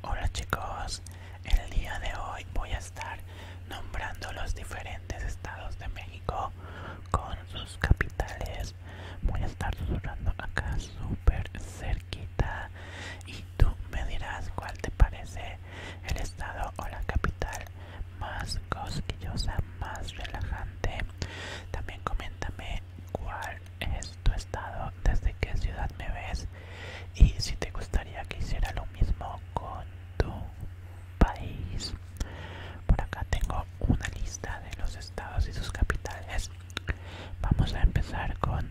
Hola chicos, el día de hoy voy a estar nombrando los diferentes estados de México con sus capitales. Voy a estar sonando acá súper cerquita y tú me dirás cuál te parece el estado o la capital más cosquillosa, más relajante. También coméntame cuál es tu estado, desde qué ciudad me ves y si te gustaría que hiciera lo mismo con tu país. Por acá tengo una lista de los estados y sus capitales. Vamos a empezar con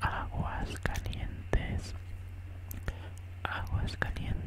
Aguas Aguas Calientes. Aguas Calientes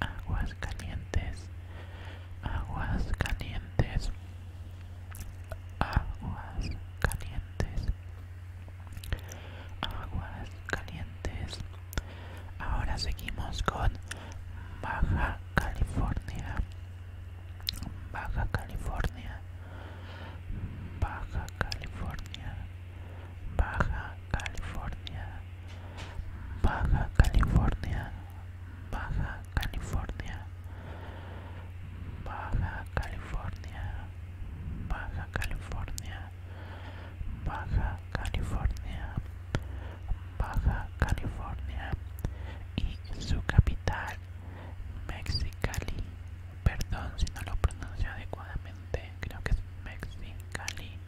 aguas calientes, aguas calientes, aguas calientes, aguas calientes. Ahora seguimos con Baja California, Baja California, Baja California, Baja California. Baja California, Baja California, Baja California, Baja California, Baja California, Baja California y su capital, Mexicali. Perdón si no lo pronuncio adecuadamente, creo que es Mexicali.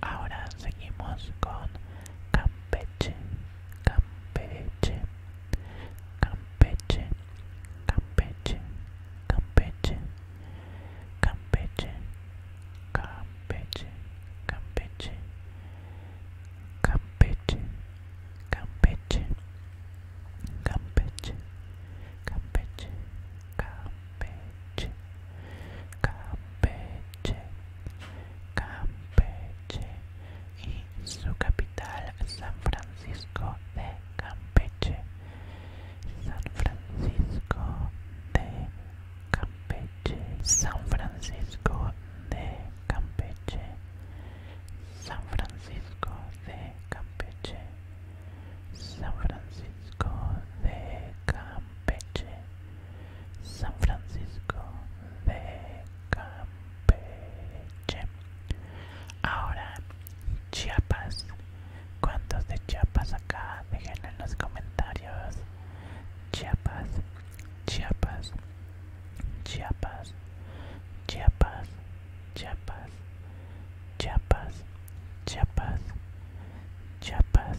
Ahora seguimos con Campeche, Campeche, Campeche, Campeche, Campeche, Campeche, Campeche, Campeche, Campeche, Campeche, Campeche, Campeche, Campeche, Campeche, y su capital San Francisco de Campeche, San Francisco de Campeche, San Francisco de Campeche, San Francisco de Campeche, San Francisco de Campeche. Campeche, San Francisco de Campeche. Ahora, Chiapas. ¿Cuántos de Chiapas acá? Déjenlo en los comentarios. Chiapas, Chiapas, Chiapas, Chiapas, Chiapas, Chiapas, Chiapas, Chiapas,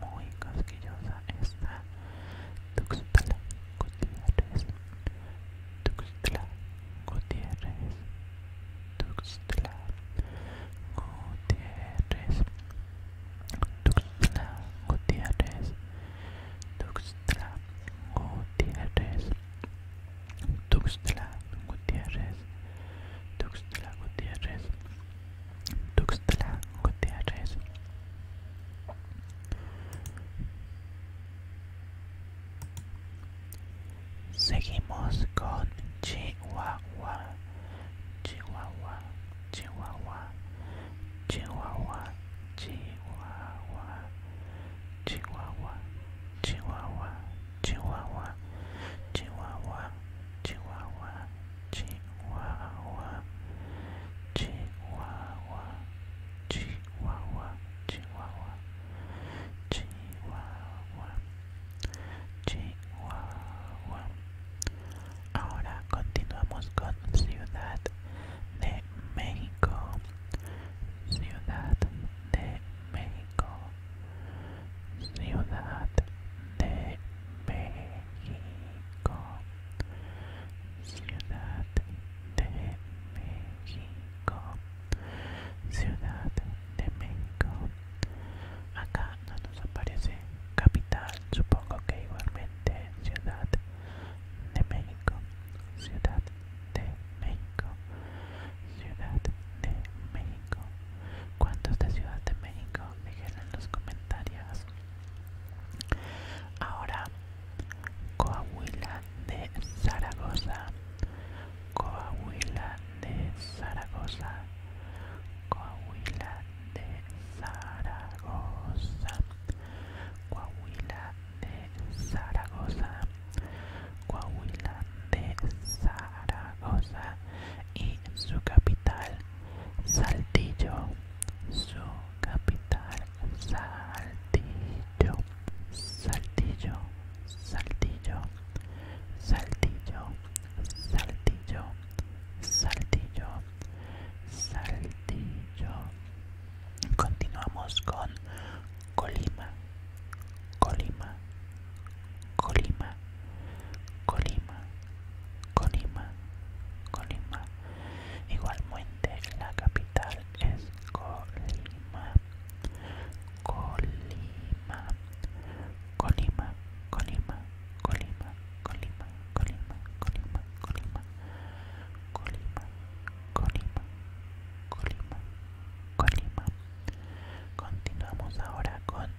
muy cosquillosa esta Tuxtla Gutiérrez Tuxtla Gutiérrez Tuxtla Gutiérrez Tuxtla Gutiérrez Tuxtla Gutiérrez Tuxtla Gutiérrez Tuxtla Gutiérrez Tuxtla tres Seguimos con Chihuahua, Chihuahua, Chihuahua, Chihuahua, Chihuahua, Chihuahua, Chihuahua, Chihuahua, Chihuahua, Chihuahua, Chihuahua, Chihuahua, Chihuahua, Chihuahua, Chihuahua, Chihuahua. Ahora continuamos con Ciudad de México, Ciudad de México, Ciudad de México. Ciudad de México, Ciudad de México. Acá no nos aparece capital, supongo que igualmente Ciudad de México, Ciudad de México, Ciudad de México. ¿Cuántos de Ciudad de México? déjenlo en los comentarios. Ahora, Coahuila de Zaragoza, Coahuila de Zaragoza, Coahuila de Zaragoza, Coahuila de Zaragoza, Coahuila de Zaragoza y su capital Saltillo, su capital, Saltillo, Saltillo, Saltillo, Saltillo, Saltillo, Saltillo, Saltillo. Continuamos con Colima, Colima, Colima, Colima. Colima, Colima. Igualmente la capital es Colima. Colima, Colima, Colima, Colima, Colima, Colima, Colima, Colima, Colima, Colima, Colima, Colima. Continuamos ahora con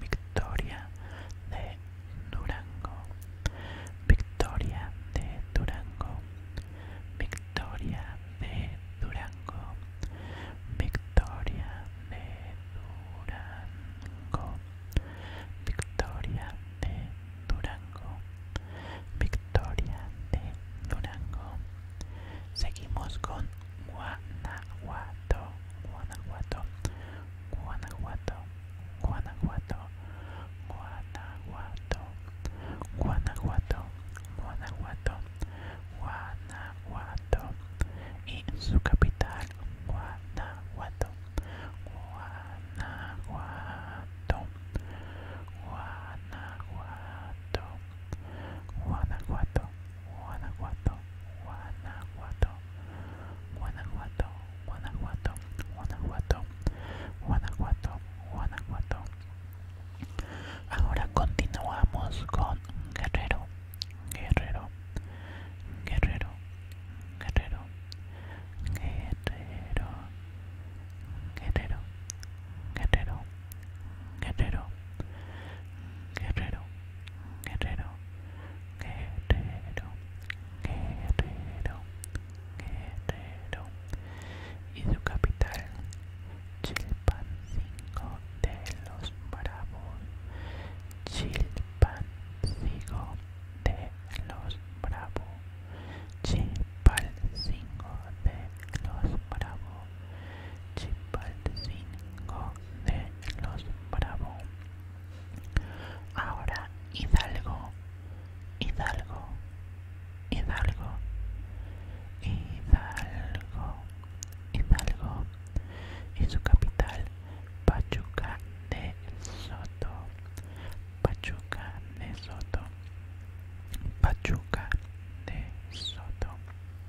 Victoria de Durango, Victoria de Durango, Victoria de Durango, Victoria de Durango, Victoria de Durango, Victoria de Durango. Seguimos con Guanajuato, Guanajuato, Guanajuato, Guanajuato, Guanajuato, Guanajuato, Guanajuato, Guanajuato y su capital Guanajuato, Guanajuato, Guanajuato, Guanajuato. Guanajuato, Guanajuato, Guanajuato, Guanajuato, Guanajuato, Guanajuato, Guanajuato, Ahora continuamos con Guerrero, Guerrero, Guerrero, Guerrero, Guerrero, Guerrero, Guerrero, Guerrero, Guerrero guerrero, guerrero, guerrero, guerrero. Y su capital, Chilpancingo de los Bravos. Chilpancingo de los Bravos. Chilpancingo de los Bravos. Chilpancingo de los Bravo. Ahora Hidalgo, Hidalgo, Hidalgo, Hidalgo, Hidalgo y su capital Pachuca de Soto, Pachuca de Soto, Pachuca de Soto.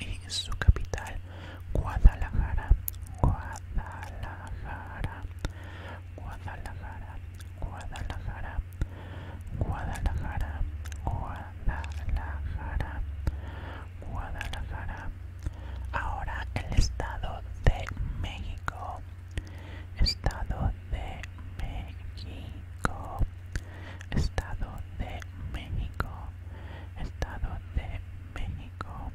y su capital Guadalajara, Guadalajara, Guadalajara, Guadalajara, Guadalajara, Guadalajara, Guadalajara. Ahora el Estado de México, Estado de México, Estado de México. Estado de México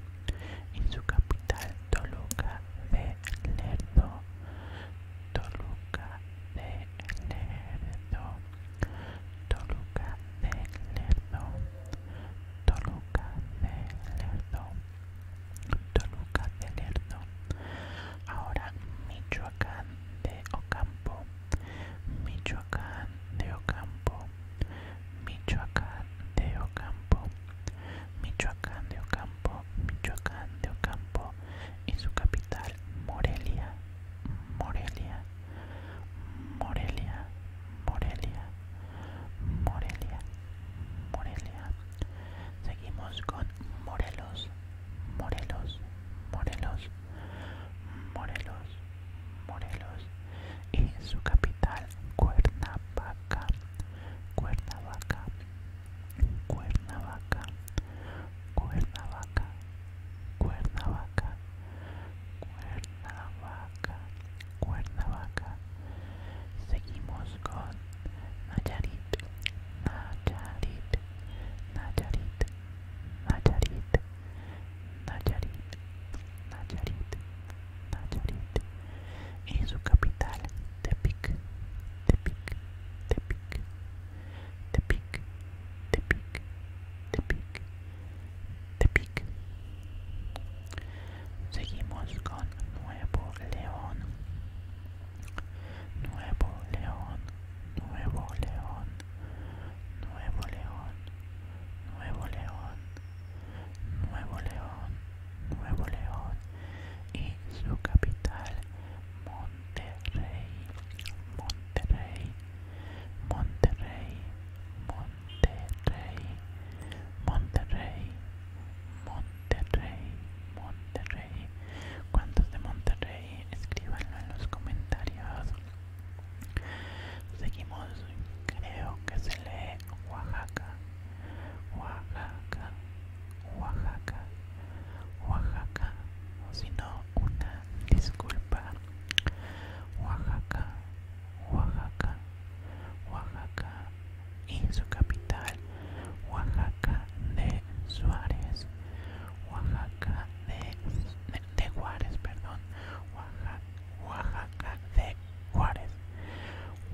y su capital Toluca de Lerdo. Toluca de Lerdo. Toluca de Lerdo. Toluca de Lerdo. Toluca de Lerdo. Ahora Michoacán de Ocampo. Michoacán de Ocampo. Michoacán de Ocampo, Michoacán de Ocampo, Michoacán de Ocampo y su capital Morelia, Morelia, Morelia, Morelia, Morelia, Morelia. Seguimos con Morelos, Morelos, Morelos. Morelos, Morelos y su capital Cuernavaca, Cuernavaca, Cuernavaca, Cuernavaca, Cuernavaca, Cuernavaca, Cuernavaca. Seguimos con Nayarit, Nayarit, Nayarit, Nayarit, Nayarit, Nayarit, Nayarit y su capital Tepic, Tepic, Tepic, Tepic, Tepic, Tepic, Tepic. Seguimos con Nuevo León. Nuevo León, Nuevo León, Nuevo León, Nuevo León, Nuevo León, Nuevo León y su capital Monterrey, Monterrey, Monterrey, Monterrey, Monterrey, Monterrey, Monterrey. ¿Cuántos de Monterrey? Escríbanlo en los comentarios. Seguimos, creo que se lee Oaxaca, Oaxaca, Oaxaca, Oaxaca, o si no, una disculpa. Oaxaca, Oaxaca, Oaxaca y su capital, Oaxaca de Suárez, Oaxaca de, Juárez, perdón, Oaxaca, Oaxaca de Juárez,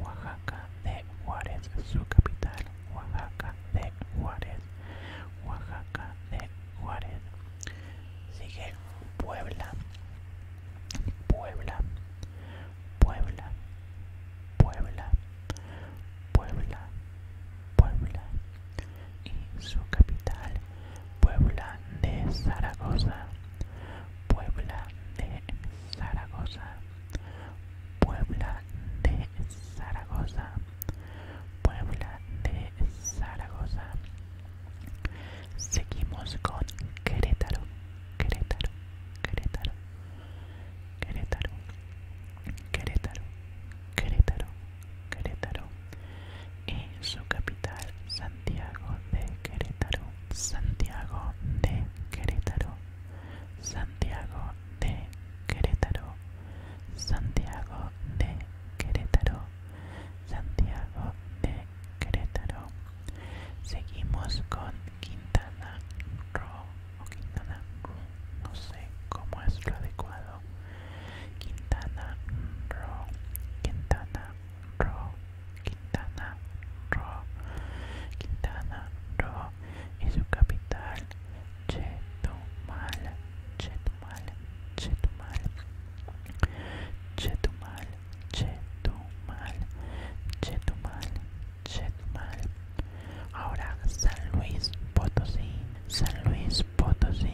Oaxaca de Juárez, su capital, Oaxaca de Juárez, Oaxaca de Juárez. Sigue Puebla, Puebla, Puebla, Puebla, Puebla, Puebla, y su capital, Puebla de Zaragoza, Puebla de Zaragoza, Puebla de Zaragoza, Puebla de Zaragoza. Seguimos con Querétaro, Querétaro, Querétaro, Querétaro, Querétaro, Querétaro. Querétaro y su capital Santiago de Querétaro, Santiago de Querétaro, Santiago de Querétaro, Santiago de Querétaro, Santiago de Querétaro. Seguimos con Quintana Roo o Quintana Roo, no sé cómo es lo adecuado. Quintana Roo, Quintana Roo, Quintana Roo, Quintana Roo y su capital Chetumal, Chetumal, Chetumal, Chetumal, Chetumal, Chetumal, Chetumal. Ahora San Luis Potosí, San Luis Potosí.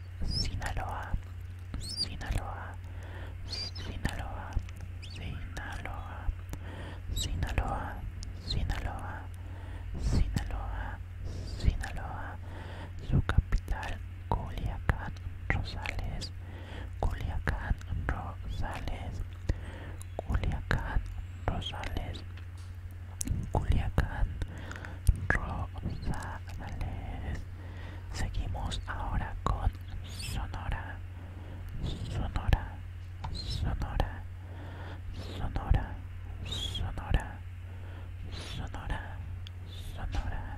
Sinaloa, Sinaloa, Sinaloa, Sinaloa, Sinaloa, Sinaloa, Sinaloa, Sinaloa, su capital Culiacán Rosales, Culiacán Rosales, Culiacán Rosales, Culiacán, Rosales. Seguimos ahora con Sonora, Sonora, Sonora, Sonora, Sonora, Sonora, Sonora,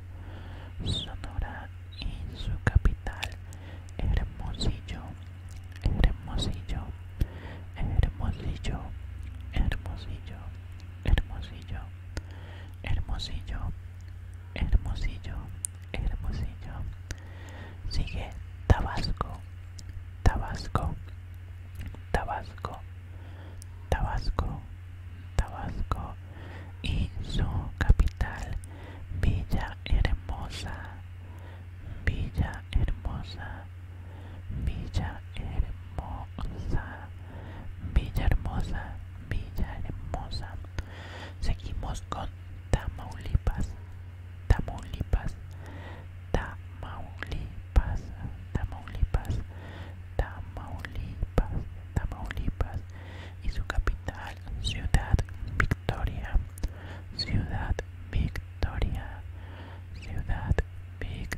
Sonora y su capital, Hermosillo, Hermosillo, Hermosillo, Hermosillo. Hermosillo, Hermosillo, Hermosillo, Hermosillo. Sigue Tabasco, Tabasco, Tabasco, Tabasco, Tabasco y su capital Villa Hermosa, Villa Hermosa, Villa Hermosa, Villa Hermosa, Villa Hermosa. Seguimos con Tamaulipas, Tamaulipas, Tamaulipas, Tamaulipas, Tamaulipas, Tamaulipas y su capital, Ciudad Victoria, Ciudad Victoria, Ciudad Victoria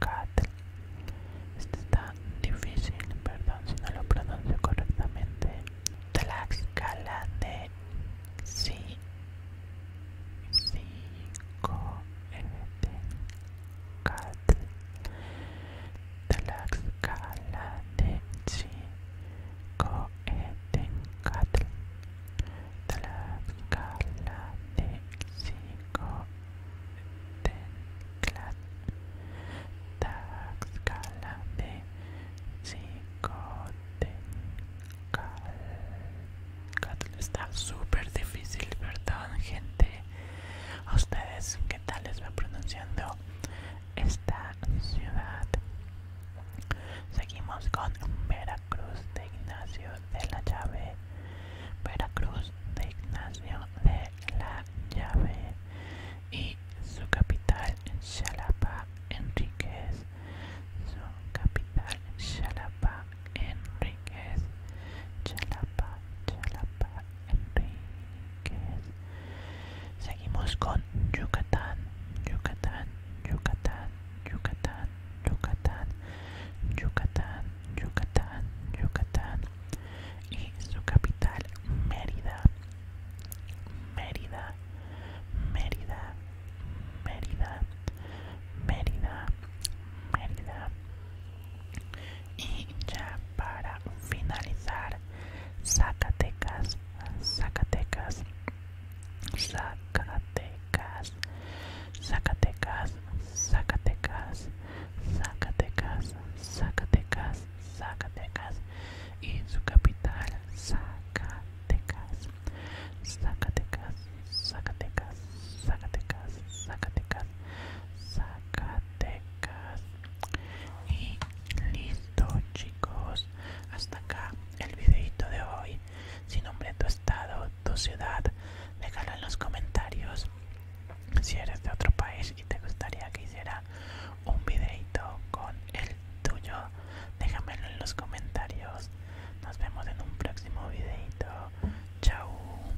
cat Este está difícil, perdón si no lo pronuncio correctamente. Tlaxcala de sí, cinco, este, cat Tlaxcala de sí, co, e, cat Tlaxcala de sí, co, e, Tenclat, de Está súper difícil, perdón gente? ¿A ustedes qué tal les va pronunciando esta ciudad? Seguimos con Veracruz de Ignacio de la Llave. Veracruz de Ignacio de la Llave y su capital en Xalapa Enríquez. Su capital Xalapa Enríquez. Xalapa, Xalapa Enríquez. Seguimos con Yucatán, Yucatán, Yucatán, Yucatán, Yucatán, Yucatán, Yucatán, Yucatán y su capital Mérida, Mérida, Mérida, Mérida, Mérida, Mérida y ya para finalizar Zacatecas, Zacatecas, Zacatecas. Zacatecas, Zacatecas, Zacatecas, Zacatecas, Zacatecas, y su capital Zacatecas, Zacatecas, Zacatecas, Zacatecas, Zacatecas, Zacatecas y listo chicos, hasta acá el videito de hoy. sin hombre tu estado, tu ciudad. Déjalo en los comentarios. Si eres de otro país y te gustaría que hiciera un videito con el tuyo, déjamelo en los comentarios. Nos vemos en un próximo videito. Chao.